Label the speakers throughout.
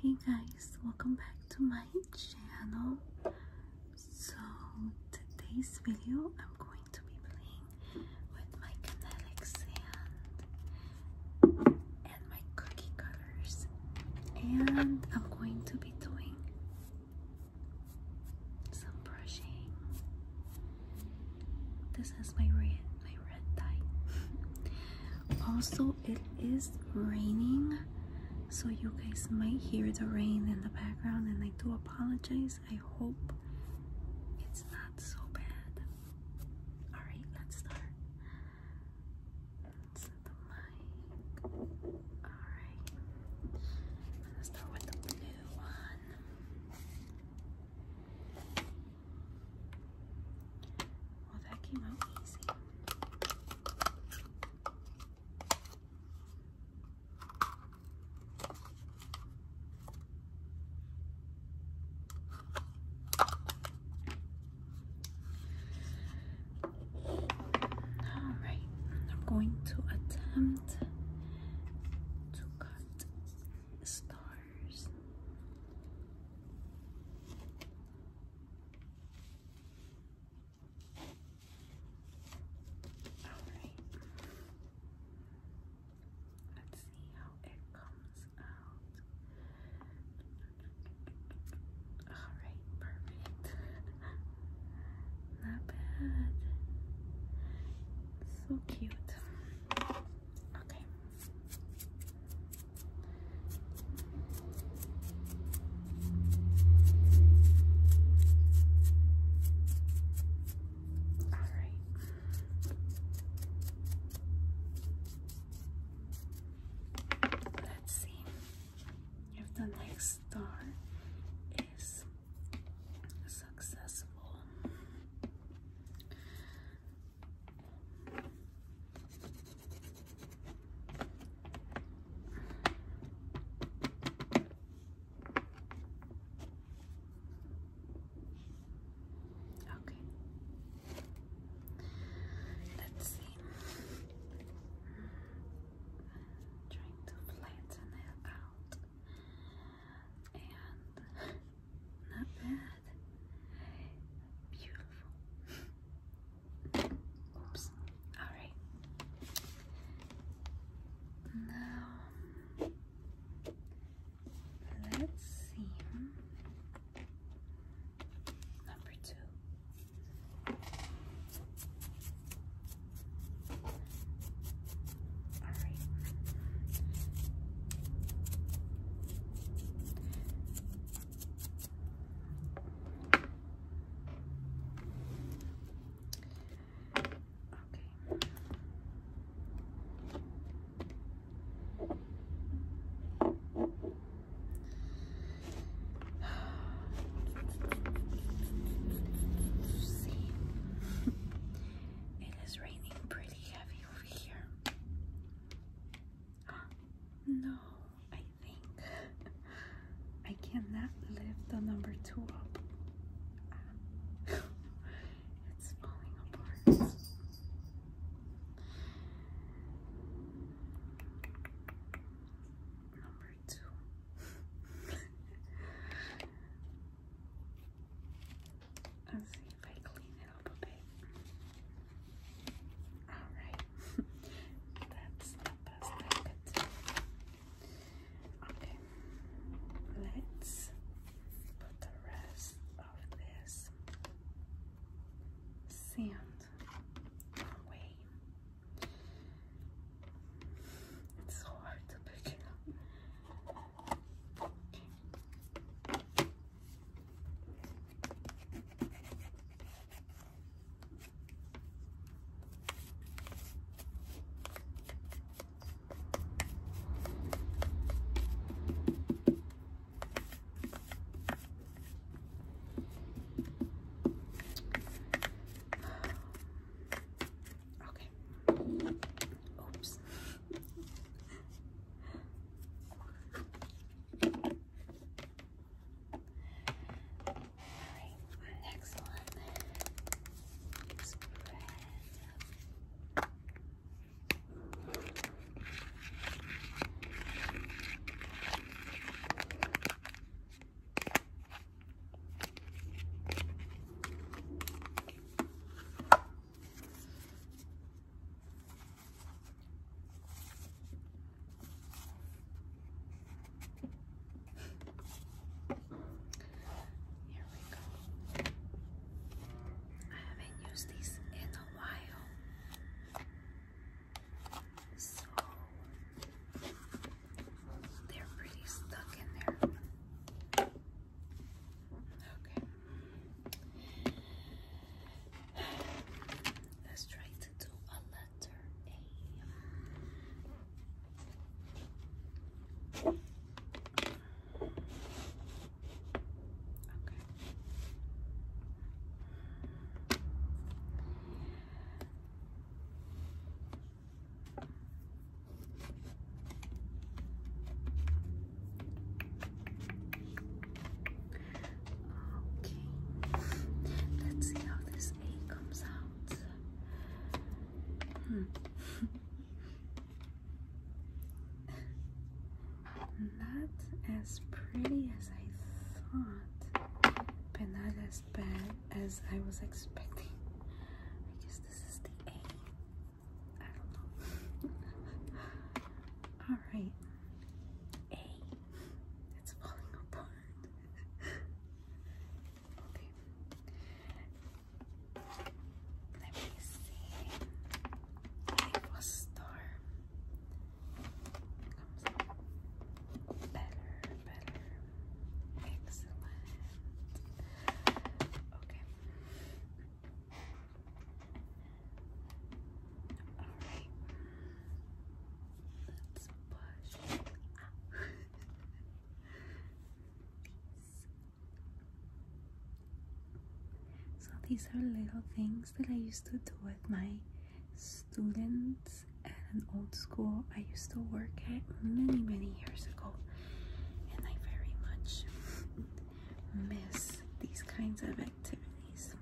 Speaker 1: Hey guys, welcome back to my channel. So today's video I'm going to be playing with my kinetic and my cookie cutters and I'm going to be doing some brushing. This is my red also, it is raining, so you guys might hear the rain in the background, and I do apologize. I hope it's not so bad. Alright, let's start. Let's set the mic. Alright. I'm gonna start with the blue one. Well, that came out easy. All right, I'm going to attempt to cut the star Alright. Let's see how it comes out. Alright, perfect. Not bad. So cute. Okay. All right. Let's see if the next star is successful. Okay. Let's see. trying to flatten it out. And not bad. Beautiful. Oops. Alright. Now let's see. Hmm? Number two. All right. Okay. it is raining pretty heavy over here. No, I think I cannot lift the number two it's falling apart. Number two. Let's see if I clean Alright, that's the best I could do. Okay, let's put the rest of this sand away. It's so hard to pick it up. Okay. Oops. All right, next one is here we go. I haven't used these in a while. So they're pretty stuck in there. Okay. Let's try to do a letter A. Okay. Okay, let's see how this A comes out. Hmm. not as pretty as I thought, but not as bad as I was expecting. I guess this is the A. All right. A. It's falling apart. okay. Let me see. It was star. better, better. Excellent. Okay. Alright. Let's push. Ah. So these are little things that I used to do with my students at an old school I used to work at many many years ago and I very much miss these kinds of activities.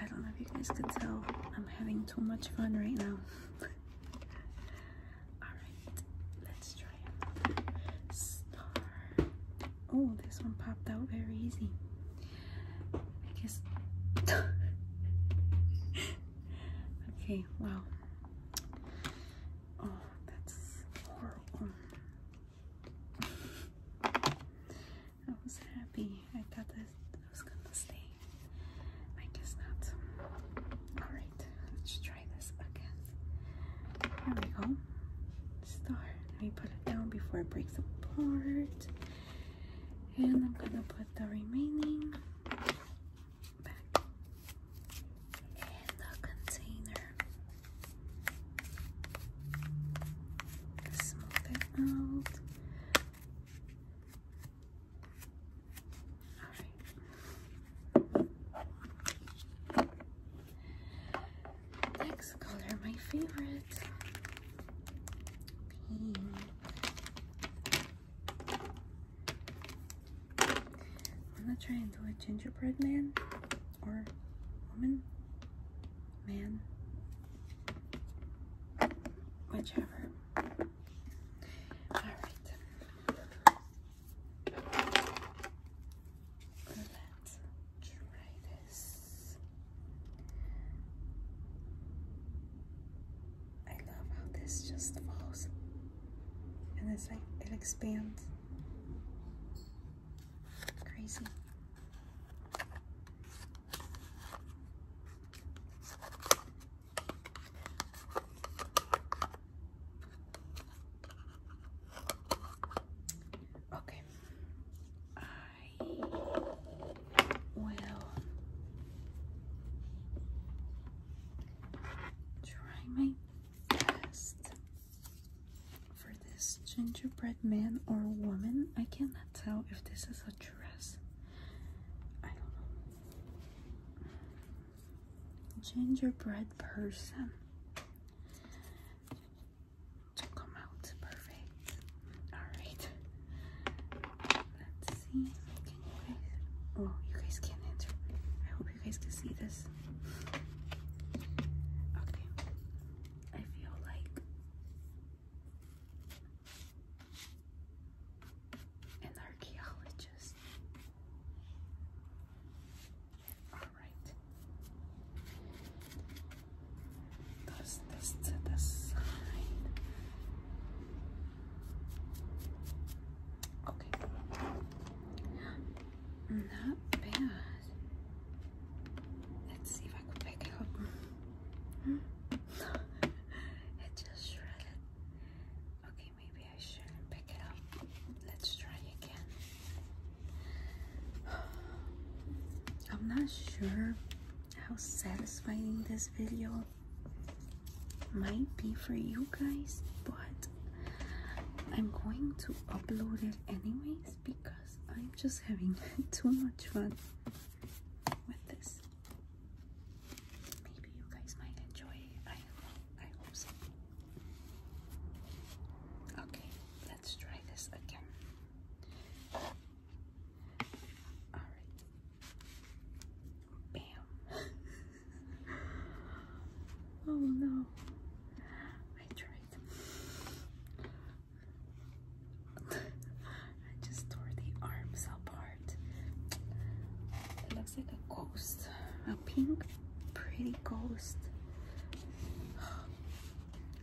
Speaker 1: I don't know if you guys can tell, I'm having too much fun right now. Alright, let's try Oh, this one popped out very easy. I guess. okay, wow. Oh, that's horrible. I was happy. I thought that I was gonna stay. I guess not. Alright, let's try this again. Here we go. Star. Let me put it down before it breaks apart. And I'm gonna put the remaining back and the container. Smooth it out. Alright. Next color, my favorite. Pink. I'm gonna try and do a gingerbread man or woman, man, whichever. All right, let's try this. I love how this just falls and it's like it expands crazy Okay, I will try my for this gingerbread man or woman, I cannot tell if this is a dress. I don't know. Gingerbread person to come out perfect. Alright. Let's see. Can you guys? Oh, you guys can enter. I hope you guys can see this. Okay. I feel like an archaeologist. All right. Does this to the side? Okay. Not bad. Let's see if I can pick it up. it just shredded. Okay, maybe I shouldn't pick it up. Let's try again. I'm not sure how satisfying this video might be for you guys, but I'm going to upload it anyways because I'm just having too much fun with this. Maybe you guys might enjoy I hope so. Okay, let's try this again. Alright. Bam. oh no, I tried. I just tore the arms apart. It looks like a ghost, a pink, pretty ghost. All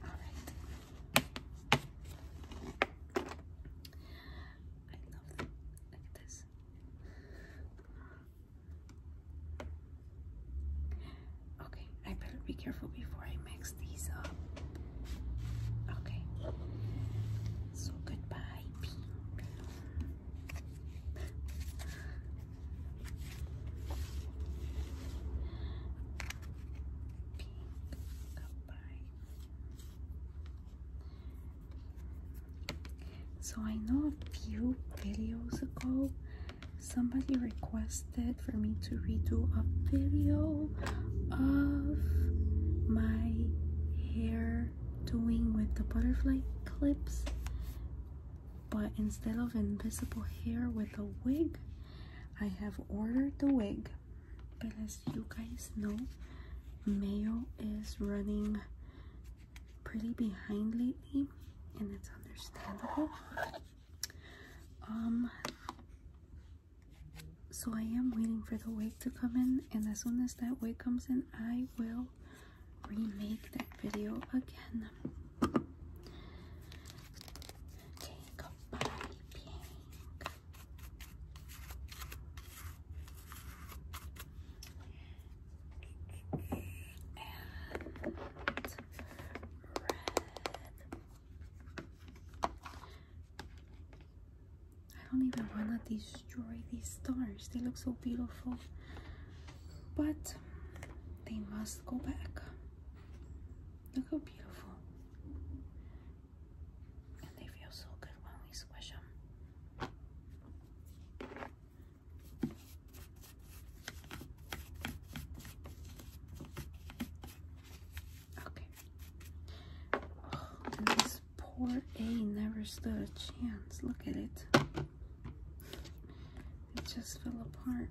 Speaker 1: right. I love it. Like this. Okay, I better be careful before I mix these up. Okay, so goodbye, pink. goodbye. So I know a few videos ago somebody requested for me to redo a video of my hair doing with the butterfly clips but instead of invisible hair with a wig I have ordered the wig but as you guys know mail is running pretty behind lately, and it's understandable. Um, so I am waiting for the wig to come in, and as soon as that wig comes in, I will remake that video again. I don't even want to destroy these stars. They look so beautiful. But they must go back. Look how beautiful. And they feel so good when we squish them. Okay. Oh, this poor A never stood a chance. Look at it. It just fell apart.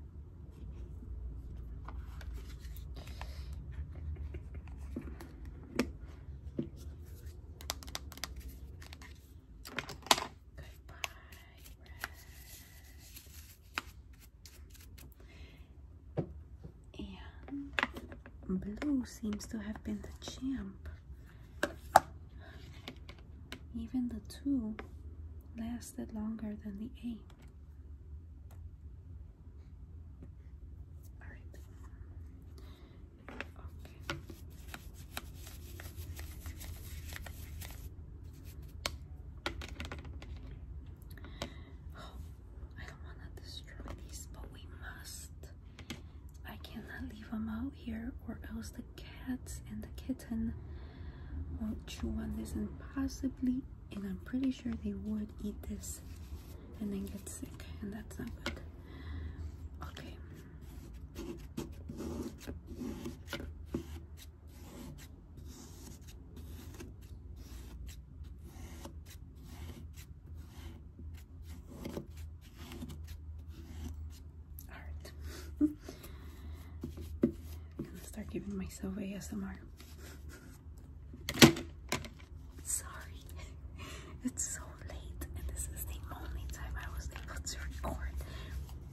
Speaker 1: And blue seems to have been the champ. Even the two lasted longer than the eight. All right. Oh, I don't want to destroy these, but we must. I cannot leave them out here, or else the cats and the kitten won't chew on this, and possibly, and I'm pretty sure they would eat this and then get sick, and that's not good. Okay, all right. I'm gonna start giving myself ASMR. Sorry. It's so late, and this is the only time I was able to record.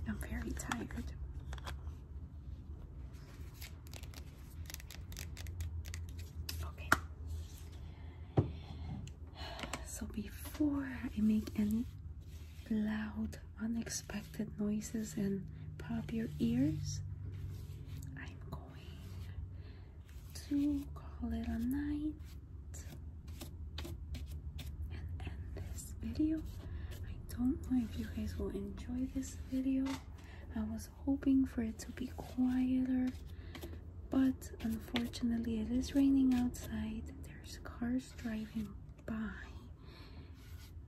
Speaker 1: I'm very tired. Okay. So before I make any loud, unexpected noises and pop your ears, I'm going to call it a night and end this video. I don't know if you guys will enjoy this video. I was hoping for it to be quieter, but unfortunately it is raining outside. There's cars driving by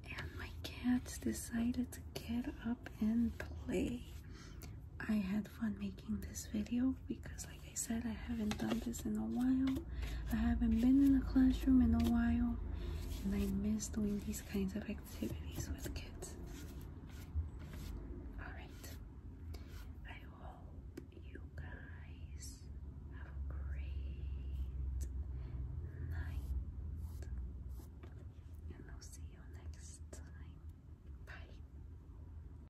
Speaker 1: and my cats decided to get up and play. I had fun making this video because like I said, I haven't done this in a while. I haven't been in a classroom in a while and I miss doing these kinds of activities with kids. Alright, I hope you guys have a great night and I'll see you next time. Bye.